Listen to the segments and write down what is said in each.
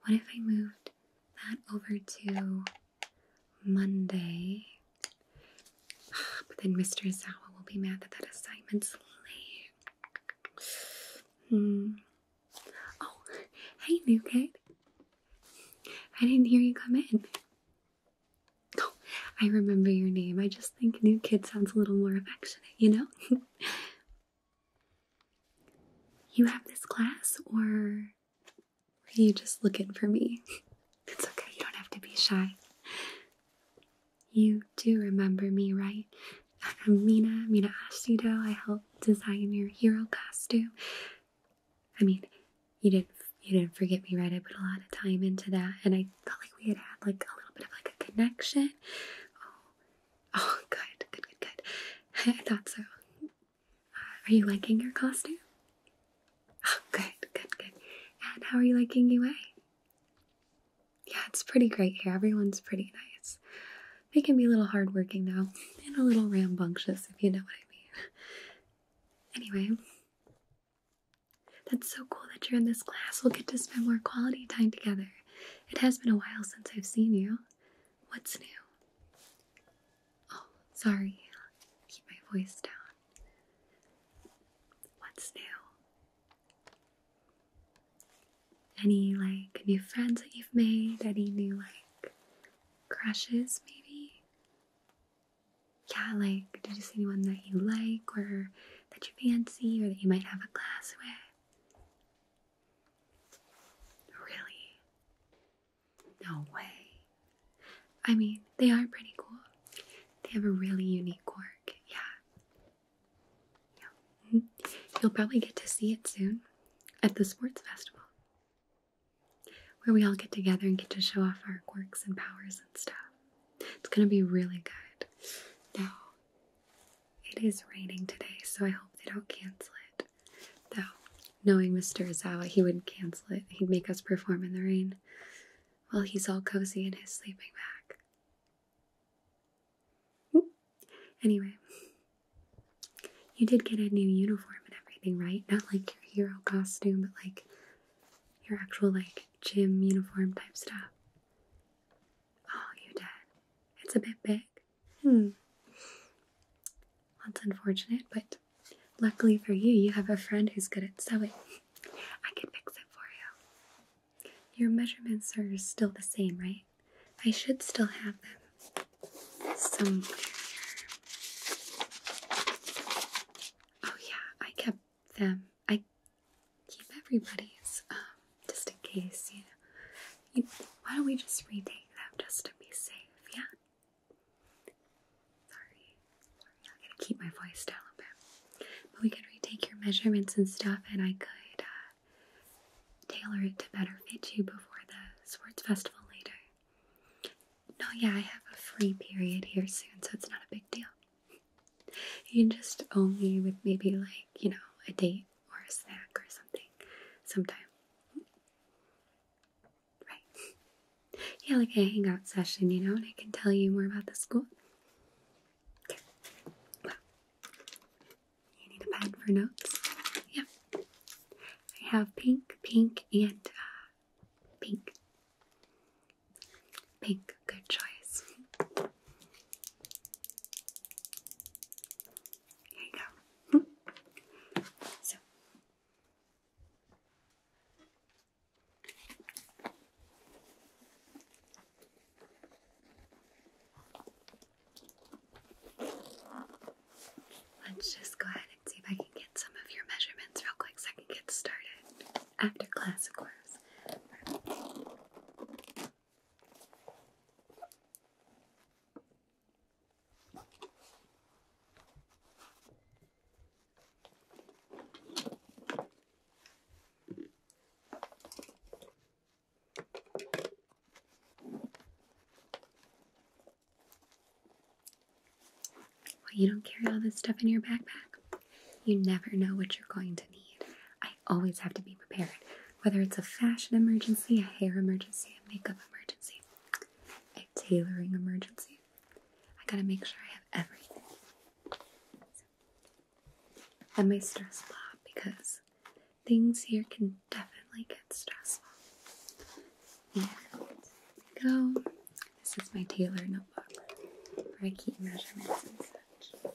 What if I moved that over to Monday? But then Mr. Zawa will be mad that that assignment's late. Hmm. Oh, hey, new kid. I didn't hear you come in. Oh, I remember your name. I just think new kid sounds a little more affectionate, you know? You have this class, or are you just looking for me? it's okay, you don't have to be shy. You do remember me, right? I'm uh, Mina, Mina Ashido. I helped design your hero costume. I mean, you didn't you didn't forget me, right? I put a lot of time into that, and I felt like we had had like a little bit of like a connection. Oh, Oh, good, good, good, good. I thought so. Uh, are you liking your costume? Oh, good, good, good. And how are you liking UA? Yeah, it's pretty great here. Everyone's pretty nice. They can be a little hardworking, though, and a little rambunctious, if you know what I mean. Anyway, that's so cool that you're in this class. We'll get to spend more quality time together. It has been a while since I've seen you. What's new? Oh, sorry. keep my voice down. What's new? Any like new friends that you've made? Any new like crushes maybe? Yeah, like did you see anyone that you like or that you fancy or that you might have a class with? Really? No way. I mean, they are pretty cool. They have a really unique quirk, yeah. yeah. Mm-hmm. You'll probably get to see it soon at the sports festival, where we all get together and get to show off our quirks and powers and stuff. It's gonna be really good. Now, it is raining today, so I hope they don't cancel it. Though, knowing Mr. Izawa, he wouldn't cancel it. He'd make us perform in the rain while he's all cozy in his sleeping bag. Anyway, you did get a new uniform and everything, right? Not like your hero costume, but like your actual, like, gym uniform type stuff. Oh, you did. It's a bit big. Hmm. That's unfortunate, but luckily for you, you have a friend who's good at sewing. I can fix it for you. Your measurements are still the same, right? I should still have them somewhere here. Oh, yeah, I kept them I keep everybody's um, just in case, you know. why don't we just retake them just to be safe? Yeah. Sorry, sorry, I gotta keep my voice down a bit. But we could retake your measurements and stuff, and I could uh, tailor it to better fit you before the sports festival later. No, yeah, I have a free period here soon, so it's not a big deal you just owe me with maybe like, you know, a date or a snack or something sometime. Right. Yeah, like a hangout session, you know, and I can tell you more about the school. Okay. Well, you need a pen for notes? Yeah. I have pink, pink, and uh, pink. Pink, good choice. Here you go. so Let's just go ahead and see if I can get some of your measurements real quick so I can get started after class, of course. Why you don't carry all this stuff in your backpack. You never know what you're going to need. I always have to be prepared, whether it's a fashion emergency, a hair emergency, a makeup emergency, a tailoring emergency. I gotta make sure I have everything. So, and my stress block because things here can definitely get stressful. And go. This is my tailor notebook where I keep measurements and such.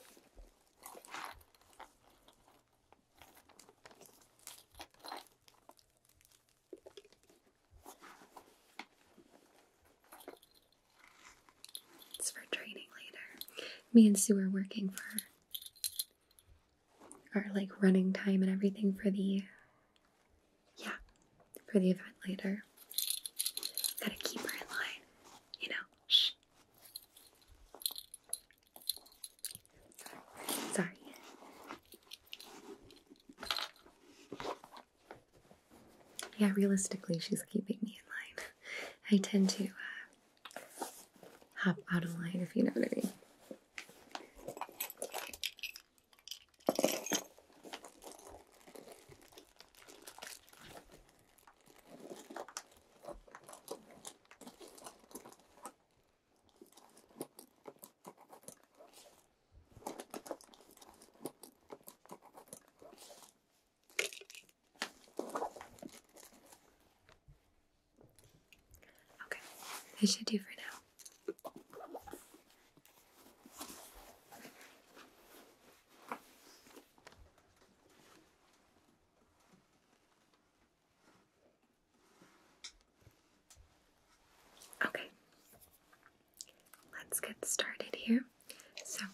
It's for training later. Me and Sue are working for our like running time and everything for the yeah, for the event later. Gotta keep her in line, you know. Shh. Sorry. Yeah, realistically, she's keeping me in line. I tend to uh, hop out of line, if you know what I mean. Okay, I should do for now. Okay, let's get started here. So,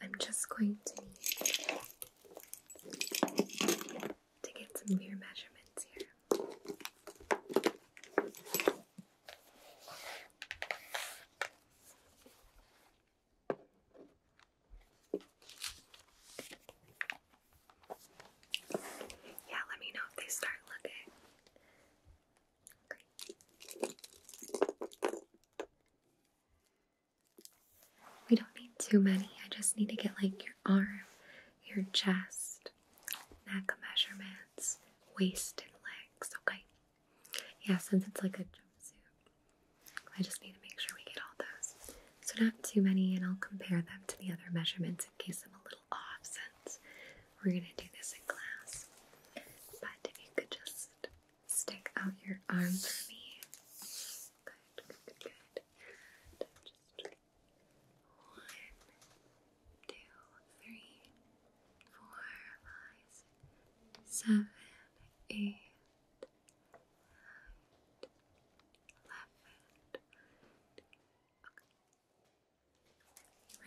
I'm just going to need to get some of measurements here. Yeah, let me know if they start looking. We don't need too many. I just need to get like your arm, your chest, neck measurements, waist and legs, okay? Yeah, since it's like a jumpsuit, I just need to make sure we get all those. So not too many, and I'll compare them to the other measurements in case I'm a little off since we're gonna do this in class. But if you could just stick out your arm for me. Good, good, good, first. One, two, three, four, five, six, seven, eight, nine,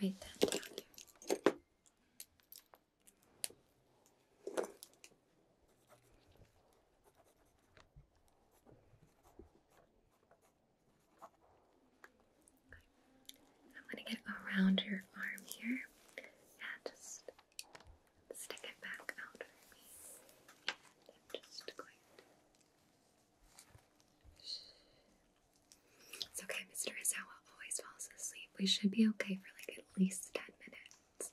eleven. Write that down here. I'm going to get around your arm here and just stick it back out for me. It's okay, Mr. Isawa always falls asleep. We should be okay for like at least 10 minutes.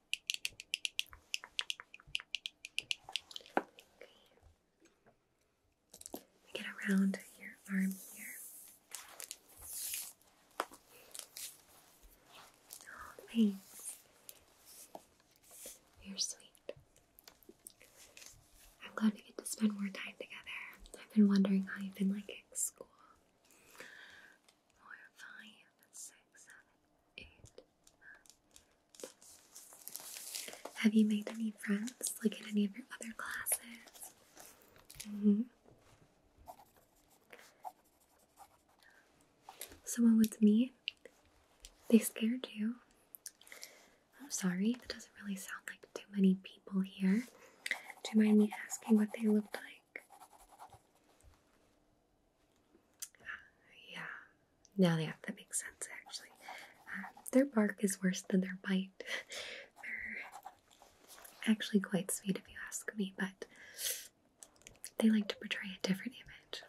Get around your arm here. Oh, thanks. You're sweet. I'm glad we get to spend more time together. I've been wondering how you've been like at school four, five, six, seven, eight, nine. Have you made any friends, like in any of your other classes? Mm-hmm. Someone with me, they scared you. I'm sorry, that doesn't really sound like too many people here. Do you mind me asking what they looked like? Yeah, now yeah, that makes sense actually. Um, their bark is worse than their bite. They're actually quite sweet if you ask me, but they like to portray a different image.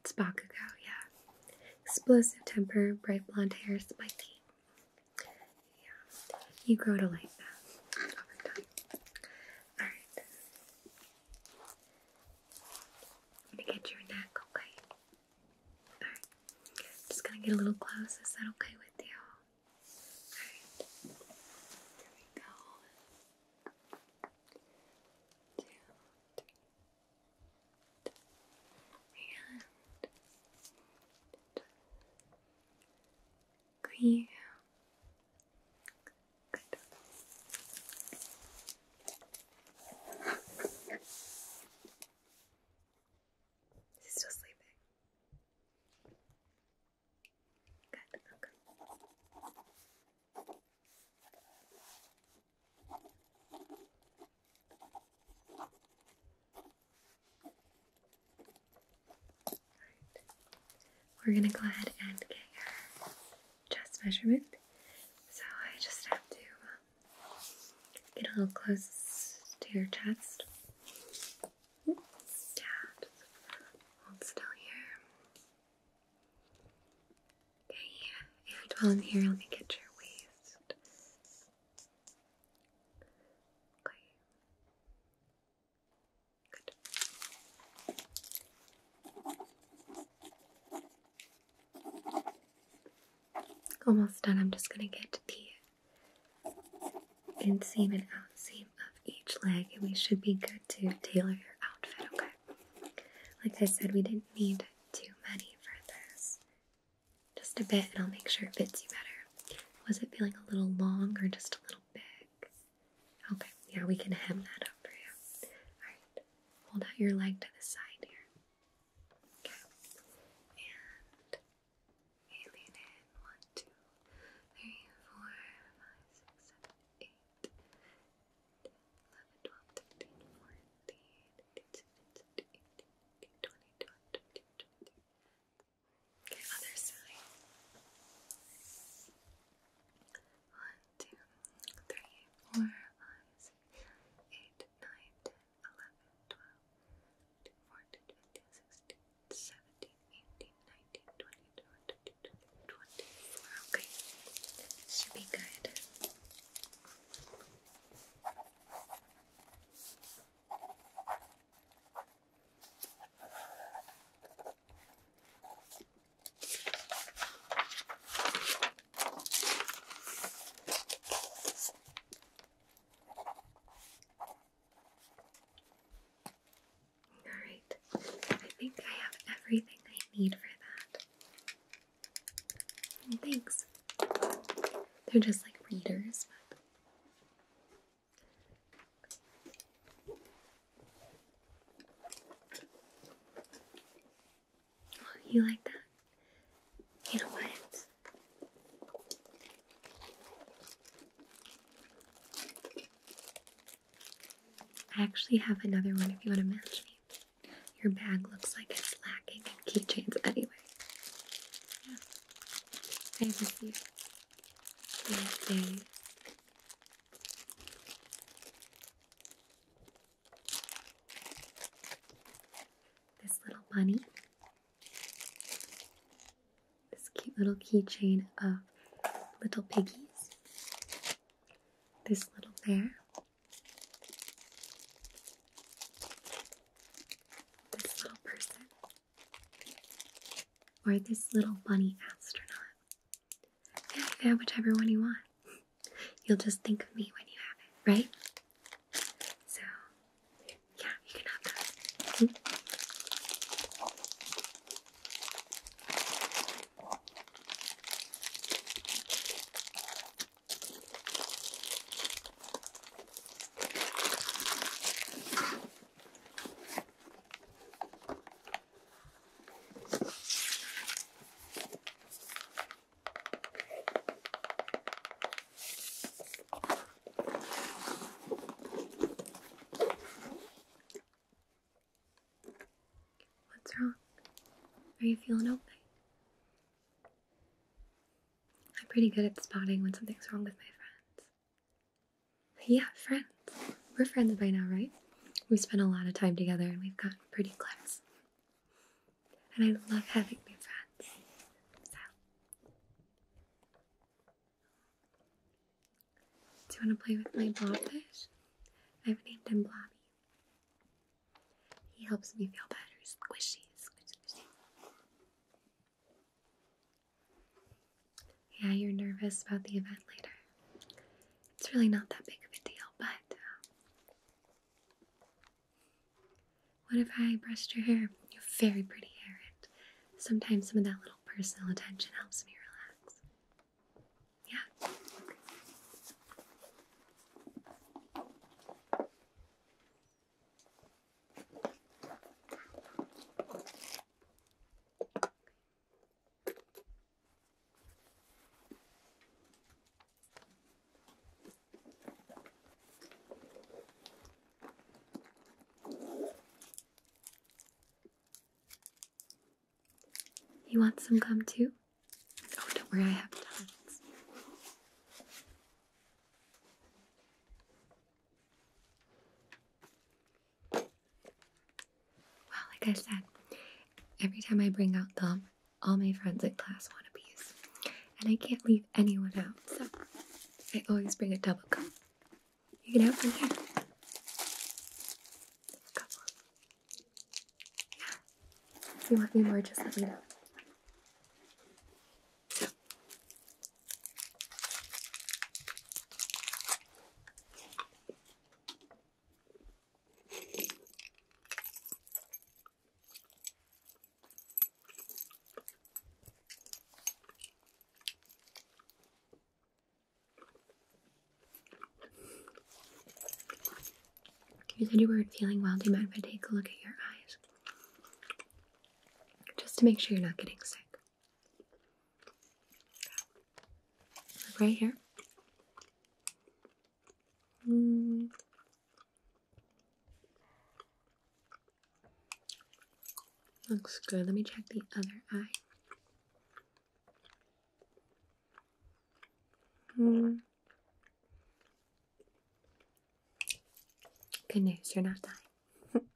It's Bakugo, yeah. Explosive temper, bright blonde hair, spiky. Yeah, you grow to like that over time. Alright. I'm gonna get your neck, okay? Alright. just gonna get a little close. Is that okay with you? Alright. There we go. Two, and clear. Good. Is still sleeping? Good. Okay. We're gonna go ahead and get your chest measurement. So I just have to um, get a little close to your chest. Yeah, just hold still here. Okay, yeah. If you dwell here, let me get your waist. Almost done. I'm just going to get the inseam and outseam of each leg, and we should be good to tailor your outfit, okay? Like I said, we didn't need too many for this. Just a bit, and I'll make sure it fits you better. Was it feeling a little long or just a little big? Okay, yeah, we can hem that up for you. Alright, hold out your leg to the side here. and hey, lean in. One, two, three, four, five, six, seven, eight, Okay, other side. One, two, three, four, five, six, seven, eight, nine, ten, eleven, twelve, two, fourteen, fifteen, sixteen, seventeen, eighteen, nineteen, twenty, twenty-two, twenty-four. okay, should be good. Alright, I think I have everything I need for that. thanks. They're just like readers, you like that? You know what? I actually have another one if you want to match me. Your bag looks like it's lacking in keychains anyway. This little bunny. This cute little keychain of little piggies. This little bear. This little person. Or this little bunny astronaut. Yeah, you can have whichever one you want. You'll just think of me when you have it, right? So, yeah, you can have that. What's wrong? Are you feeling okay? I'm pretty good at spotting when something's wrong with my friends. Yeah, friends. We're friends by now, right? We've spent a lot of time together and we've gotten pretty close. And I love having new friends. Do you want to play with my blobfish? I've named him Blobby. He helps me feel better. Squishy, squishy, squishy. Yeah, you're nervous about the event later. It's really not that big of a deal, but uh, what if I brushed your hair? You have very pretty hair, and sometimes some of that little personal attention helps me relax. Yeah. You want some gum too? Oh, don't worry, I have tons. Well, like I said, every time I bring out them, all my friends in class wannabes, And I can't leave anyone out, so I always bring a double cup. You can have one here. Couple. Yeah. you want me more, just a me you said you weren't feeling well. Do you mind if I take a look at your eyes? just to make sure you're not getting sick. right here. Hmm. Looks good. Let me check the other eye. Mm. Good news, you're not dying.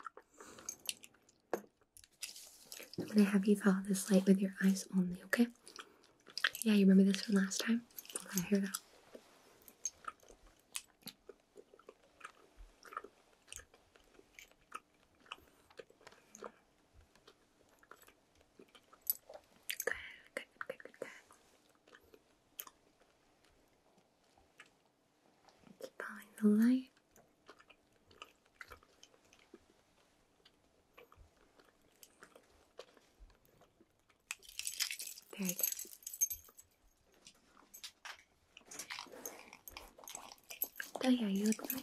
I'm gonna have you follow this light with your eyes only, okay? Yeah, you remember this from last time? Okay, here we go. Good, good, good, good, good. Keep following the light. There you go. Oh yeah, you look nice.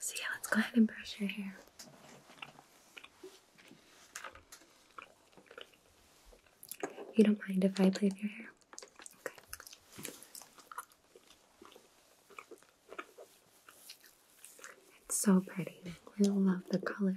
So yeah, let's go ahead and brush your hair. You don't mind if I play with your hair? Okay. It's so pretty. I love the color.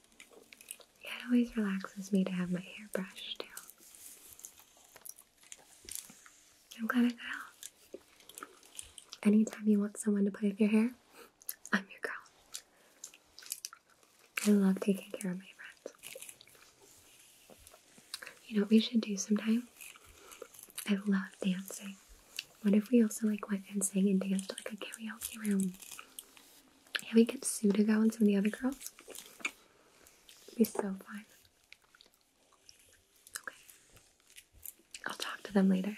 it always relaxes me to have my hair brushed too. I'm glad I got out. Anytime you want someone to play with your hair, I'm your girl. I love taking care of my friends. You know what we should do sometime? I love dancing. What if we also like went and sang and danced like a karaoke room? Can we get Sue go and some of the other girls. It'd be so fun. Okay. I'll talk to them later.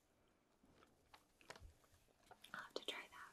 I'll have to try that.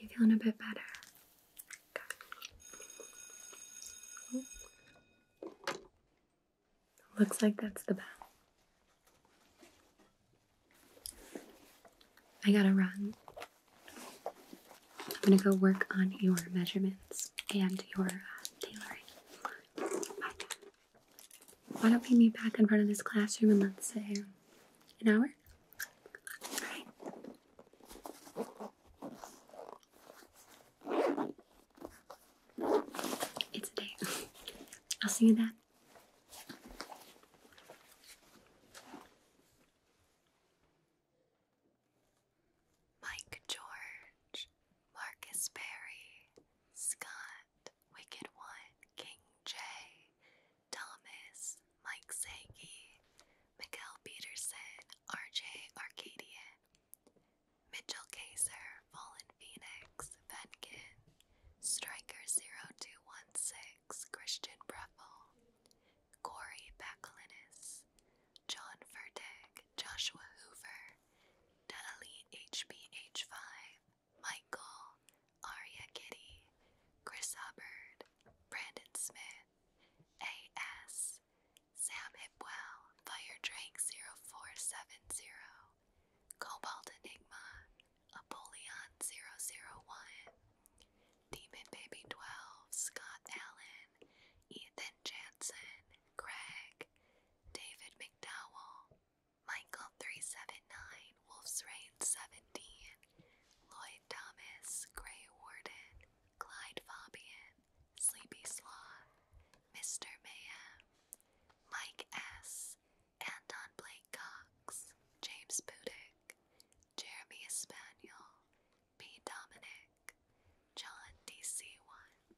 You feeling a bit better? Looks like that's the bell. I gotta run. I'm gonna go work on your measurements and your uh, tailoring. Why don't we meet back in front of this classroom in, let's say, an hour? It's a date. I'll see you then. Mike George, Marcus Berry, Scott, Wicked One, King J, Thomas, Mike Sage, Miguel Peterson, RJ Arcadia, Mitchell Kaiser, Fallen Phoenix, Venkin, Striker0216, Christian Breffel, Corey Bacalinis, John Fertig, Joshua Hoover, Dali HBH5, Michael, Aria Kitty, Chris Hubbard, Brandon Smith, A.S., Sam Hipwell, Fire Drake 0470, Cobalt Enigma, Apollyon 001, Demon Baby 12, Scott Allen, Ethan Jansen, Craig, David McDowell, Michael 379, Wolf's Rain 17, Lloyd Thomas, Gray Warden, Clyde Fabian, Sleepy Sloth, Mr. Mayhem, Mike S., Anton Blake Cox, James Pudick, Jeremy Spaniel, P. Dominic, John DC1.